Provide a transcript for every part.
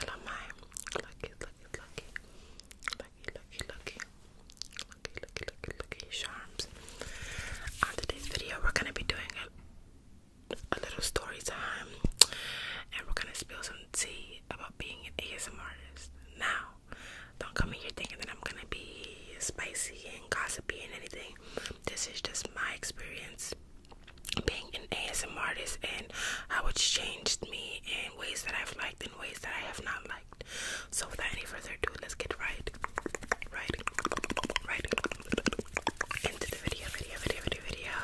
And I'm my lucky, lucky, lucky, lucky, lucky, lucky, lucky, lucky, lucky, lucky charms. On today's video, we're gonna be doing a little story time, and we're gonna spill some tea about being an ASMR artist. Now, don't come in here thinking that I'm gonna be spicy and gossipy and anything. This is just my experience being an ASMR artist and how it's changed me in ways that I've liked and ways that I have not liked. So without any further ado, let's get right, right, right into the video, video, video, video, video.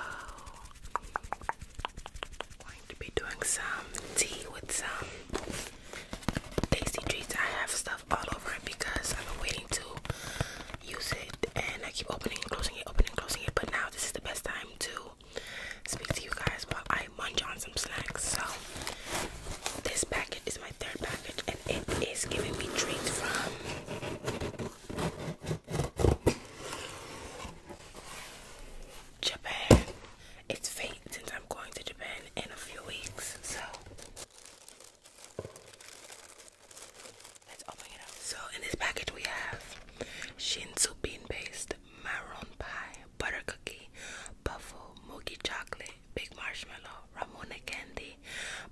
I'm going to be doing some tea with some tasty treats. I have stuff all over it because I've been waiting to use it and I keep opening and closing it, opening and closing it. But now this is the best time to speak to you guys while I munch on some snacks. So this package is my third package and it is giving me treats from Japan. It's fake since I'm going to Japan in a few weeks. So let's open it up. So in this package we have Shinsu bean paste, maroon pie, butter cookie, buffalo, mochi chocolate, big marshmallow, ramune candy,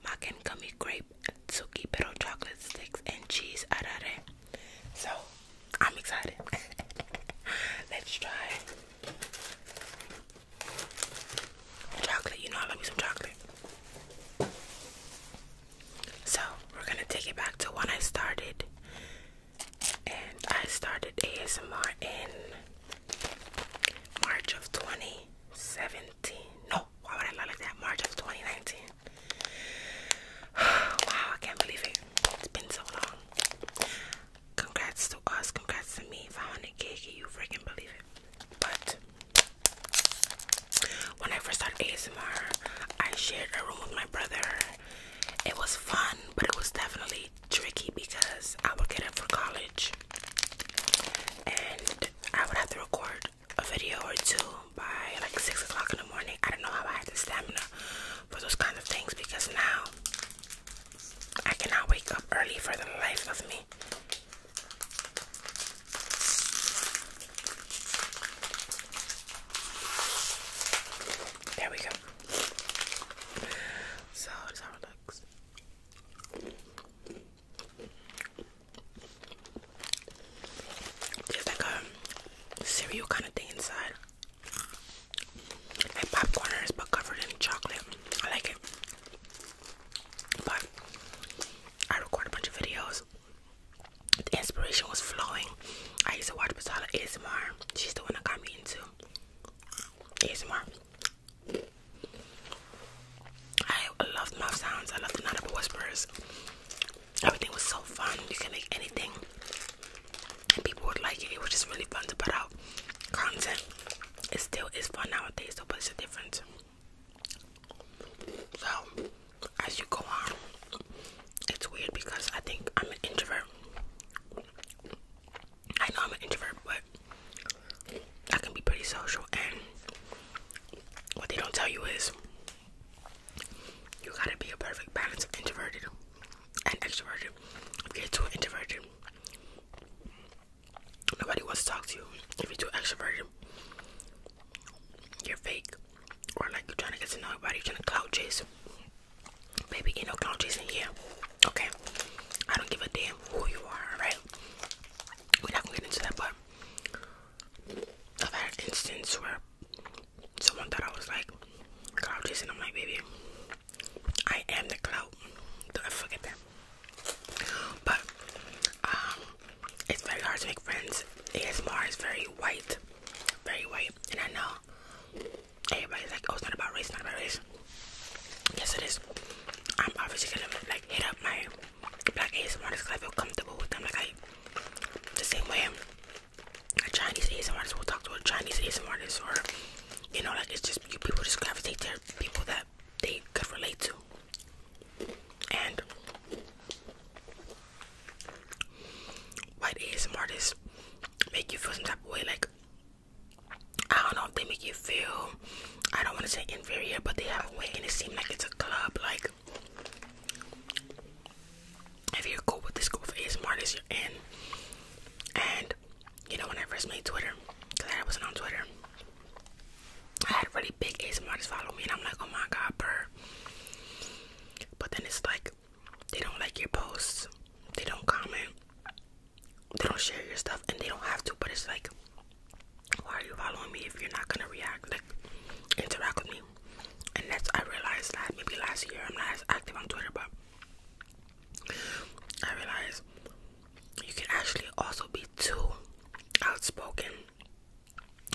mac and gummy grape, tsuki pero chocolate sticks, and cheese arare. So I'm excited. let's try. Chocolate, you know I love me some chocolate. So we're gonna take it back to when I started. And I started ASMR in March of 2017. No, why would I lie like that? March of 2019. wow, I can't believe it. It's been so long. Congrats to us, congrats to me. 500k, can you freaking believe it? But when I first started ASMR, I shared a room with my brother. It was fun, but it was definitely tricky because I would get up for college and I would have to record a video or two by like six o'clock in the morning. I don't know how I had the stamina for those kind of things because now I cannot wake up early for the life of me. There we go. So that's how it looks. There's like a cereal kind of thing inside. My popcorn but covered in chocolate. I like it. But I record a bunch of videos. The inspiration was flowing. I used to watch Basala ASMR. She's the one that got me into ASMR. I loved mouth sounds. I love the audible whispers. Everything was so fun. You can make anything and people would like it. It was just really fun to put out content. It's still it's fun nowadays, so but it's different. So as you go on, it's weird because I think I'm an introvert. I know I'm an introvert, but I can be pretty social and what they don't tell you is you gotta be a perfect balance of introverted and extroverted. If you're too introverted, Nobody wants to talk to you. If you're too extroverted, you're fake. Or like you're trying to get to know everybody, you're trying to clout chase. Baby, ain't no clout chasing here. Okay? I don't give a damn who you are, right? We're not gonna get into that, but I've had an instance where someone thought I was like clout chasing. I'm like, baby, I am the clown. Don't forget that. But um, it's very hard to make friends. Yes, Mars very white, very white, and I know everybody's like, "Oh, it's not about race, not about race." Yes, it is. I'm obviously gonna like hit up my black ASMRs because I feel comfortable with them. Like I, the same way a Chinese ASMRs will talk to a Chinese ASMRs or you know, like it's just you people just gravitate to people that they could relate to. And white A artists make you feel some type of way, like I don't know if they make you feel I don't want to say inferior, but they have a way and it seems like it's a club, like if you're cool with this group of ASM artists you're in and you know, when I first made Twitter, because I wasn't on Twitter, I had really big ASMRs follow me, and I'm like, oh my god, burr. But then it's like, they don't like your posts, they don't comment, they don't share your stuff, and they don't have to, but it's like, why are you following me if you're not gonna react, like, interact with me? And that's, I realized that maybe last year I'm not as active on Twitter, but I realize you can actually also be too outspoken.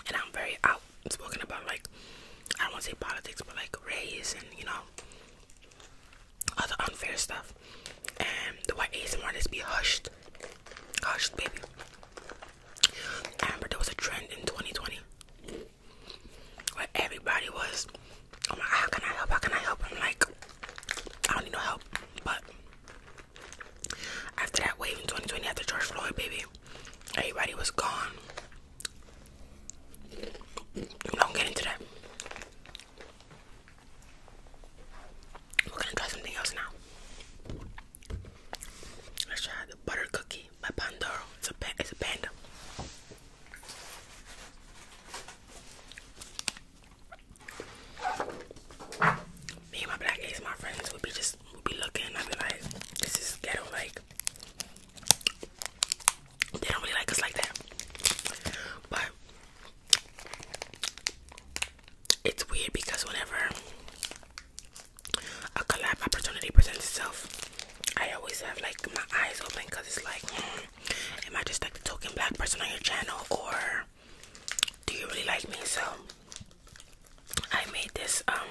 And I'm very outspoken about like I don't want to say politics, but like race and you know other unfair stuff. And the white Asian artists be hushed, hushed, baby. I remember there was a trend in 2020 where everybody was oh my how can I help? How can I help? I'm like, I don't need no help. But after that wave in 2020, after George Floyd, baby, everybody was gone. don't get into that. We're gonna try something else now. Let's try the butter cookie by Pandoro. It's a it's a panda. Me and my black ace, my friends would be just would be looking. I'd be like, this is ghetto. Like they don't really like us like that. But it's weird because whenever a collab opportunity presents itself, I always have like my eyes open because it's like. Hmm, am I just like the token black person on your channel or do you really like me? So I made this um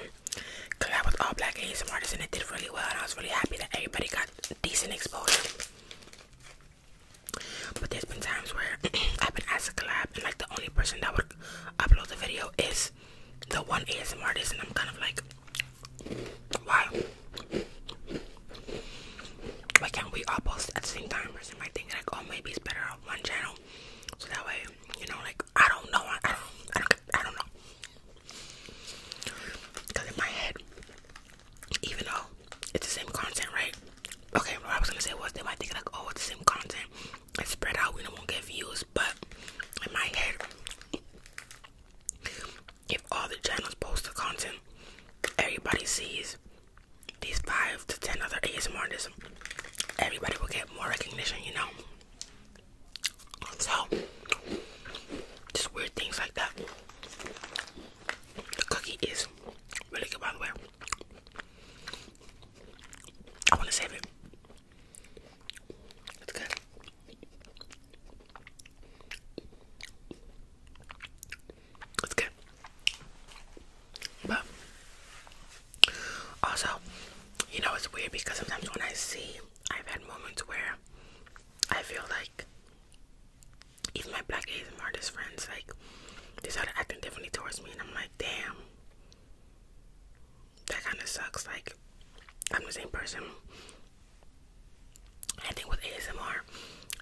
collab with all black ASM artists and it did really well and I was really happy that everybody got decent exposure. But there's been times where I've been asked to collab and like the only person that would upload the video is the one ASM artist and I'm kind of like why? Why can't we all post at the same time or something? think like, oh, maybe it's better on one channel, so that way, you know, like I don't know, I don't, I don't, I don't know. Cause in my head, even though it's the same content, right? Okay, what I was gonna say was they might think like, oh, it's the same content, it's spread out, we don't get views, but in my head, if all the channels post the content everybody sees these five to ten other ASMRs. everybody will get more recognition, you know. So just weird things like that. The cookie is really good by the way. I wanna save it. It's good. Okay, But also, you know, it's weird because sometimes when I see, I've had moments where I feel like even my black Asian friends, like, they started acting differently towards me, and I'm like, damn, that kind of sucks. Like, I'm the same person, I think with ASMR,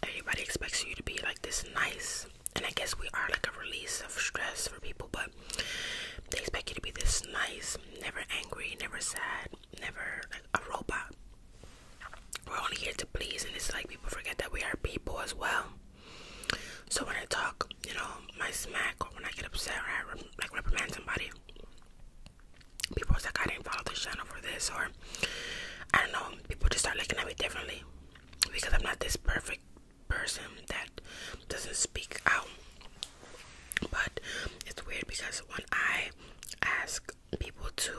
everybody expects you to be like this nice, and I guess we are like a release of stress for people, but they expect you to be this nice, never angry, never sad, never like a robot. We're only here to please, and it's like people forget that we are people as well. So when I talk, you know, my smack, or when I get upset, or I like reprimand somebody, people was like, I didn't follow this channel for this, or I don't know. People just start looking at me differently because I'm not this perfect person that doesn't speak out. But it's weird because when I ask people to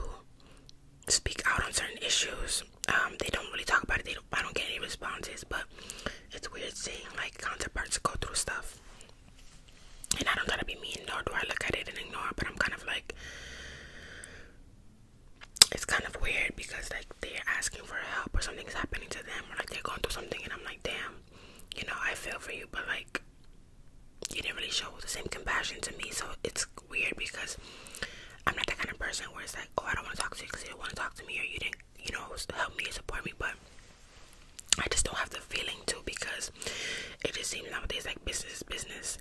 speak out on certain issues, um, they don't really talk about it. They don't, I don't get any responses, but it's weird seeing like counterparts go through stuff. And I don't gotta be mean, nor do I look at it and ignore it, but I'm kind of like, it's kind of weird because like they're asking for help or something's happening to them or like they're going through something and I'm like, damn, you know, I feel for you, but like you didn't really show the same compassion to me. So it's weird because I'm not that kind of person where it's like, oh, I don't want to talk to you because you don't want to talk to me or you didn't, you know, help me or support me, but I just don't have the feeling lying because it just seems nowadays like business is business,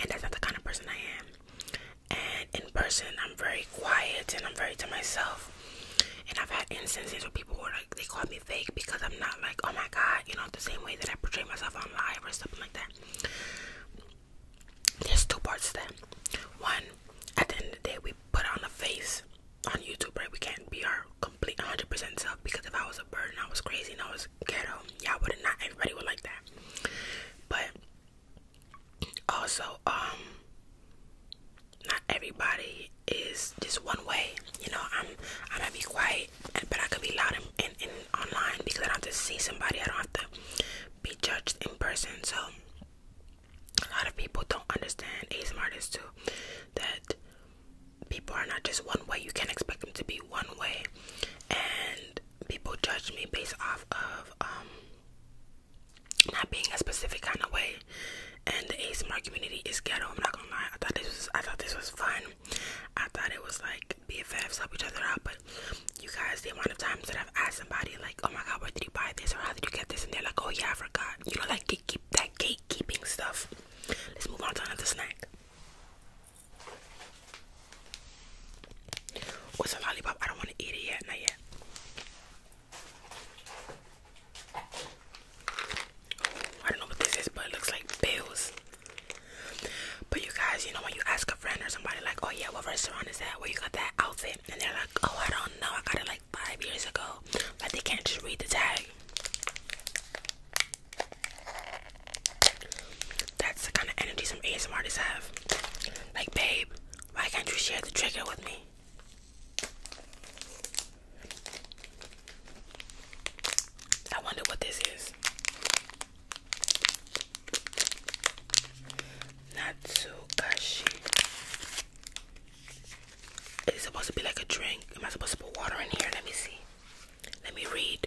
and that's not the kind of person I am. And in person, I'm very quiet and I'm very to myself. And I've had instances where people were like, they called me fake because I'm not like, oh my god, you know, the same way that I portray myself on live or something like that. There's two parts to that. One, at the end of the day, we put on a face on YouTube, right? We can't be our complete 100% self because if I was a bird and I was crazy and I was was Y'all would not everybody would like that. But also, um not everybody is just one way. You know, I'm I might be quiet but I could be loud and, and, and online because I don't have to see somebody, I don't have to be judged in person. So a lot of people don't understand ASMR artists too that people are not just one way. You can't expect them to be one way. And people judge me based off of um not being a specific kind of way. And the ASMR community is ghetto. I'm not gonna lie. I thought this was I thought this was fun. I thought it was like BFFs help each other out. But you guys, the amount of times that I've asked somebody like, "Oh my God, where did you buy this?" or "How did you get this?" and they're like, "Oh yeah, I forgot." You know, like keep that gatekeeping stuff. Let's move on to another snack. What's a lollipop? I don't want to eat it yet, not yet. I don't know what this is, but it looks like bills. But you guys, you know when you ask a friend or somebody like, oh yeah, what restaurant is that? Where you got that outfit? And they're like, oh, I don't know. I got it like five years ago. But they can't just read the tag. That's the kind of energy some ASM artists have. Like, babe, why can't you share the trigger with me? I wonder what this is. Natsukashi. Is supposed to be like a drink? Am I supposed to put water in here? Let me see. Let me read.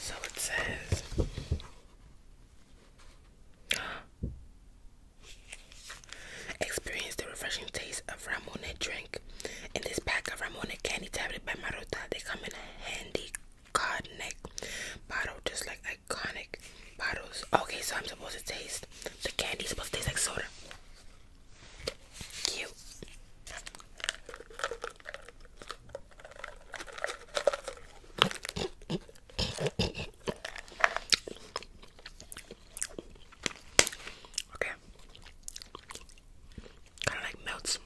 So it says Experience the refreshing taste of Ramune drink. In this pack of Ramune candy tablet by Maruta, they come in a handy cod neck bottle, just like iconic bottles. Okay, so I'm supposed to taste the candy, supposed to taste like soda. Cute. okay. Kind of like melts.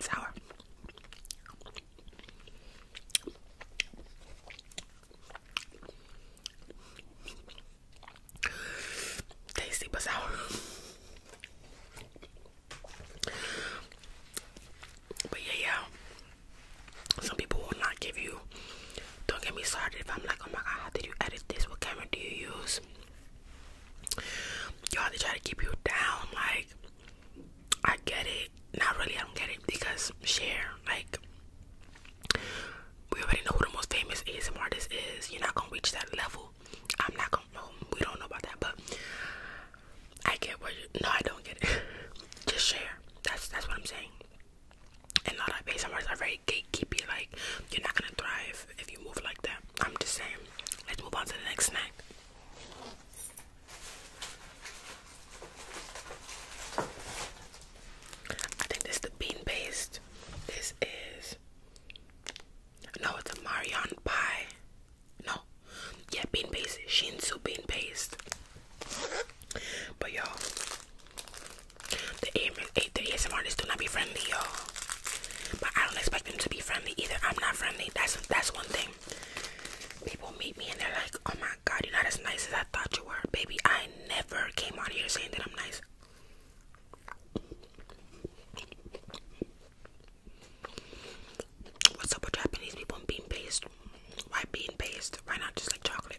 sour. Tasty but sour. But yeah, yeah. Some people will not give you. Don't get me started if I'm like, oh my god, how did you edit this? What camera do you use? Y'all, they try to keep you down. Like, I get it. Not really, I don't get it because share. Like, we already know who the most famous ASMR artist is. You're not gonna reach that level. I'm not gonna know. We don't know about that, but I get what you. No, I don't get it. Just share. That's that's what I'm saying. And a lot of ASMRs are very gatekeepy. Like you're not gonna thrive if you move like that. I'm just saying. Let's move on to the next snack. I think this is the bean based this is no, it's a Marion pie. No, yeah, bean paste, Shinsu bean paste. But y'all, the the ASMR is do not be friendly, y'all. But I don't expect them to be friendly either. I'm not friendly. That's that's one thing. People meet me and they're like, "Oh my God, you're not as nice as I thought you were, baby." I never came out here saying that I'm nice. What's up with Japanese people and bean paste? Why bean paste? Why not just like chocolate?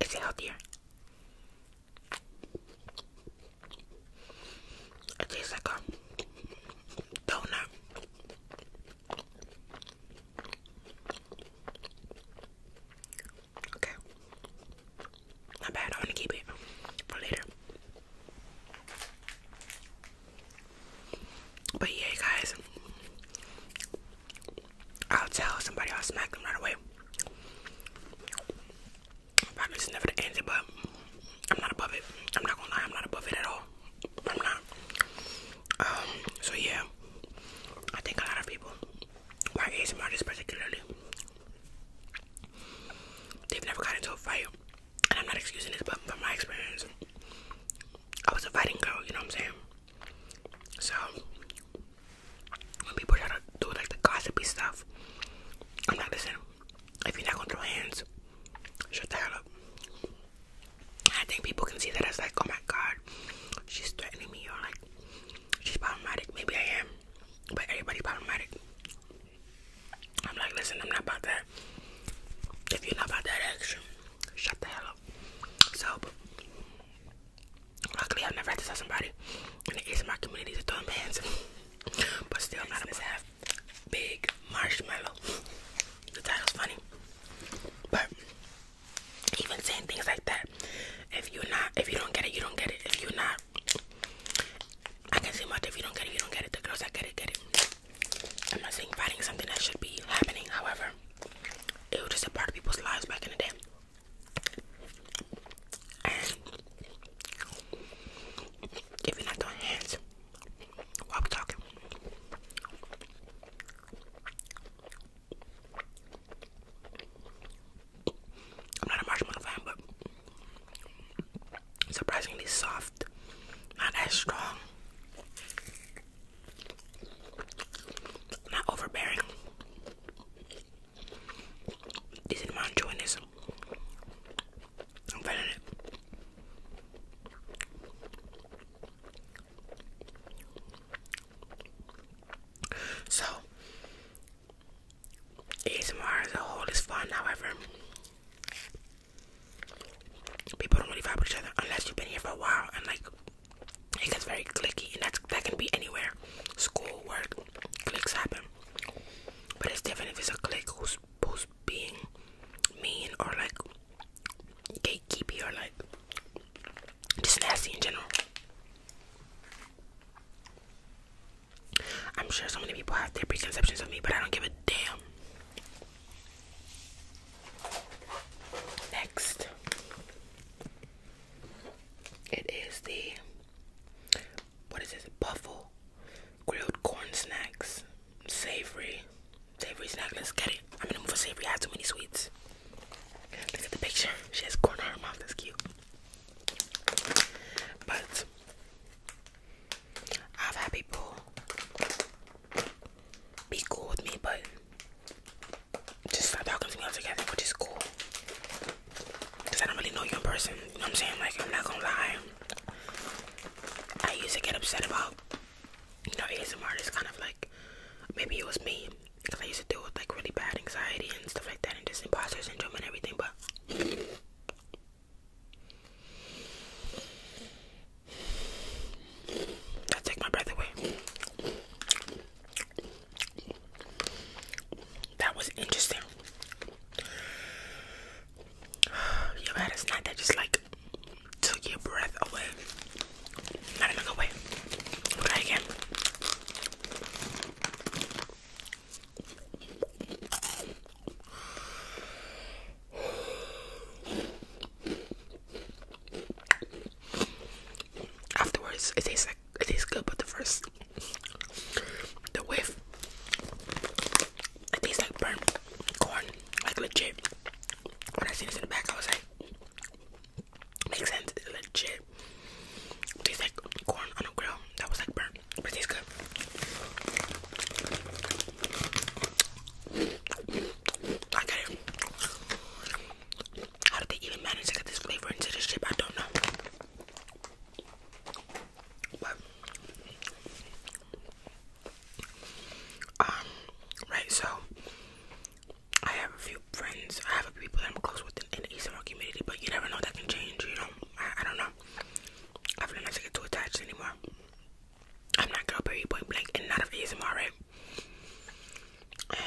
Is it healthier? It tastes like a donut. Okay. Not bad. I'm to keep it for later. But yeah, guys, I'll tell somebody. I'll smack them right away. Probably just never the answer, but I'm not above it. I'm not gonna lie. I'm not above it at all. I'm not. Um, so yeah, I think a lot of people my Asian artists particularly, they've never gotten into a fight. And I'm not excusing this, but from my experience, I was a fighting girl, you know what I'm saying? So, when people try to do like the gossipy stuff, I'm like, listen, if you're not gonna throw hands, shut the hell up. I think people can see that as like, oh my god, she's threatening me, or like, she's problematic. Maybe I am. But everybody problematic. I'm like, listen, I'm not about that. If you're not about that action, shut the hell up. So, luckily, I've never had to tell somebody in the ASMR community to throw hands. but still, not about to big marshmallow. The title's funny. But even saying things like that, if you're not, if you don't get it, you don't get it. If you're not, I can see much. If you don't get it, you don't get it. The girls that get it, get it. I'm not saying fighting is something that should be happening. However, it was just a part of people's lives back in the day. if you're not doing hands while we talking, I'm not a marshmallow fan, but surprisingly soft, not as strong, not overbearing. Decent amount of chewiness. I'm feeling it. So, ASMR as a whole is fun, however, people don't really vibe with each other unless you've been here for a while and like it gets very clicky, and that's that can be anywhere school, work, clicks happen, but it's different if it's a click who's, being mean or like gatekeepy or like just nasty in general. I'm sure so many people have their preconceptions of me, but I don't give a damn. Next, it is the what is this? Buffalo grilled corn snacks, savory, savory snack. Let's get it. I'm in the mood for savory. I had too many sweets. Look at the picture. She has corn on her mouth. That's cute. But I've had people be cool with me, but just stop talking to me altogether, which is cool. Cause I don't really know you in person. I'm saying? Like I'm not gonna lie. I used to get upset about you know ASMR. is kind of like maybe it was me. Cause I used to deal with like really bad anxiety and stuff like that, and just imposter syndrome and everything. But that took my breath away. That was interesting. Yeah, but it's not that just like took your breath away. Not even away. Try again. Afterwards, it tastes like it tastes good, but the first, the whiff, it tastes like burnt corn, like legit. When I see this in the back, I was like, Makes sense, it's legit. Tastes like corn on a grill that was like burnt, but tastes good. I How did they even manage to get this flavor into this chip? I don't know. um, right, so I have a few friends, I have a people that I'm close with in, in the ASMR community, but you never know that can change, you know. I, don't know. I've learned not to get too attached anymore. I'm not gonna bury point blank and not of ASMR, right?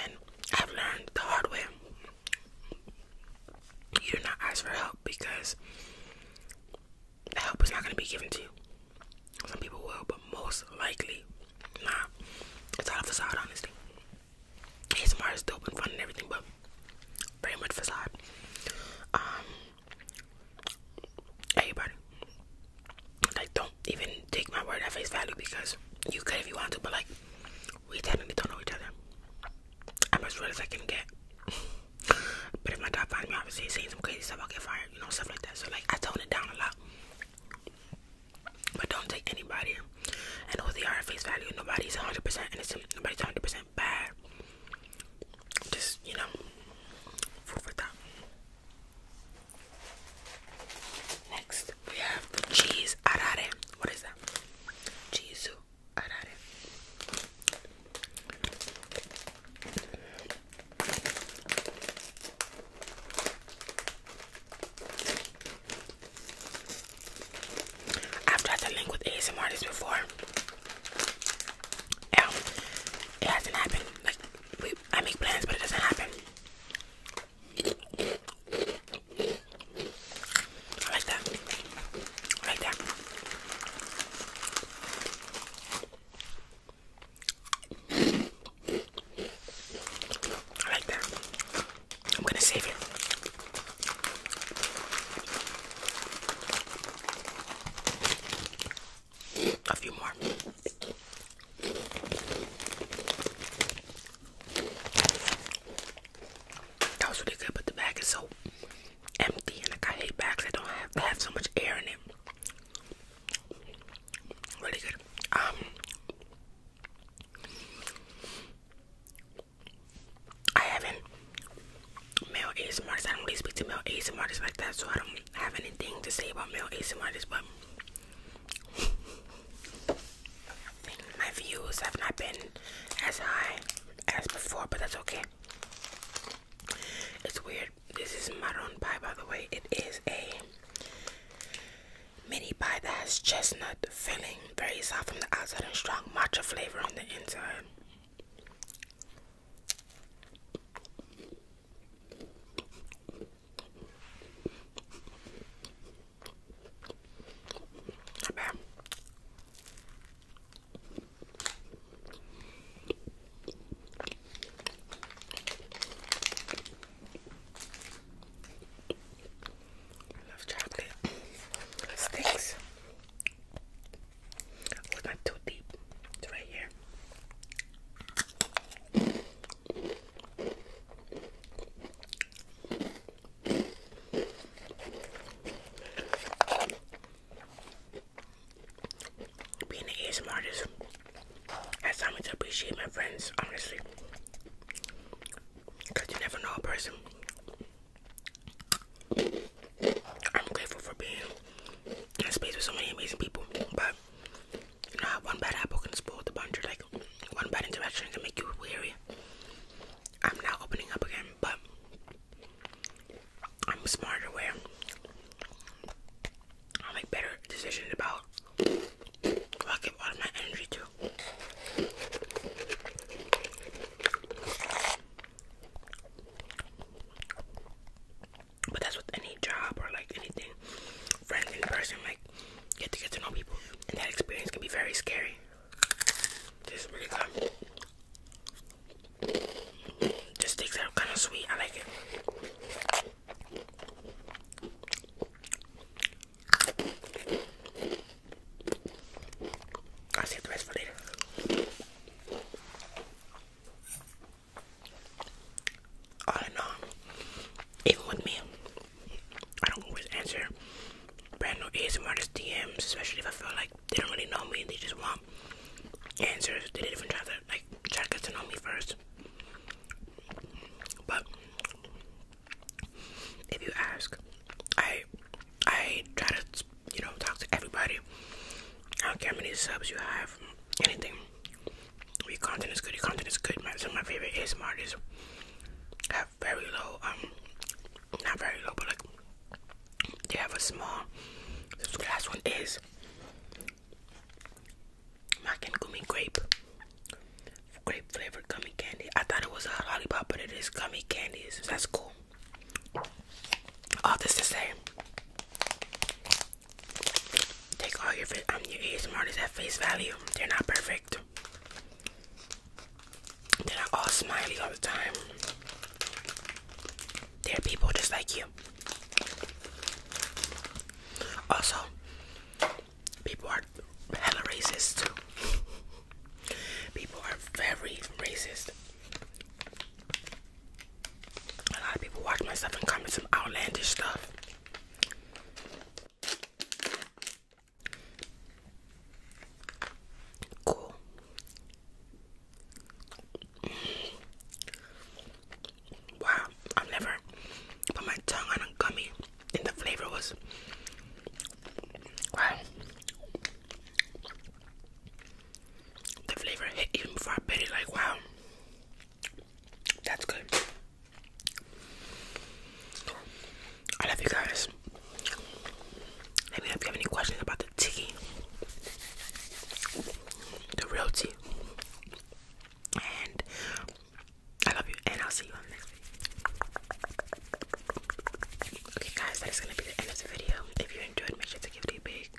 And I've learned the hard way. You do not ask for help because the help is not gonna be given to you. Some people will, but most likely not. Nah, it's all a facade, honestly. ASMR is dope and fun and everything, but very much facade. Um, everybody, like, don't even take my word at face value because you could if you want to, but like, we technically don't know each other. I'm as real as I can get. but if my dad finds me, obviously seeing some crazy stuff, I'll get fired, you know, stuff like that. So like, I tone it down a lot. But don't take anybody and who they are face value. Nobody's 100% innocent. Nobody's 100% bad. Just, you know, Next, we have cheese arare. What is that? Cheese arare. I've tried to link with ASM artists before. Yeah, it hasn't happened. Like, we, I make plans, but it doesn't happen. I like that. I like that. I like that. I'm gonna save it. A few more. That was really good, but the bag is so empty, and like I hate bags that don't have so much air in it. Really good. Um, I haven't male ASM artists. I don't really speak to male ASM artists so I don't have anything to say about male ASM artists. But my views have not been as high as before, but that's okay. It's weird. This is maroon pie, by the way. It is a Mini pie that has chestnut filling, very soft on the outside and strong matcha flavor on the inside. I love chocolate. sticks. not too deep. It's right here. Being an ASMR artist has to appreciate my friends, honestly. Because you never know a person. I'm grateful for being in a space with so many amazing people. But you know one bad apple can spoil the bunch, or like one bad interaction can make you weary. I'm now opening up again, but I'm smarter where I'll make better decisions about I'll give all my energy to. But that's with any job or like anything, friends in person, like get to get to know people, and that experience can be very scary. This really good. Just takes out kind of sweet. I like it. I'll save the rest for later. All even with me, I don't always answer brand new ASMR artist DMs, especially if I feel like they don't really know me and they just want answers. They didn't even try to like try to get to know me first. But if you ask, I I try to you know talk to everybody. I don't care how many subs you have, anything. Your content is good. Your content is good. My, some of my favorite ASMR artists have very low, um, not very low, but like they have a small. This last one is Mac and Gumi Grape grape flavored gummy candy. I thought it was a lollipop, but it is gummy candies. That's cool. All this to say, take all your I'm your ASMR is at face value. They're not perfect. They're not all smiley all the time. There are people just like you. Also, people are hella racist people are very racist. A lot of people watch my stuff and comment some outlandish stuff. Cool. Wow, I've never put my tongue on a gummy and the flavor was wow. The flavor hit even before I bit it. Like wow, that's good. I love you guys. Let me know if you have any questions about the tea, the real tea, and I love you, and I'll see you on the next video. Okay, guys, that is gonna be the end of the video. If you enjoyed, make sure to give it a big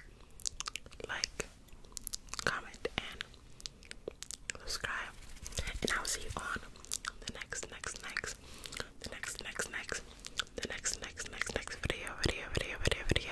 like, comment, and subscribe. And I will see you on the next, next, next, next, next, next, the next, next, next, next video, video, video, video, video.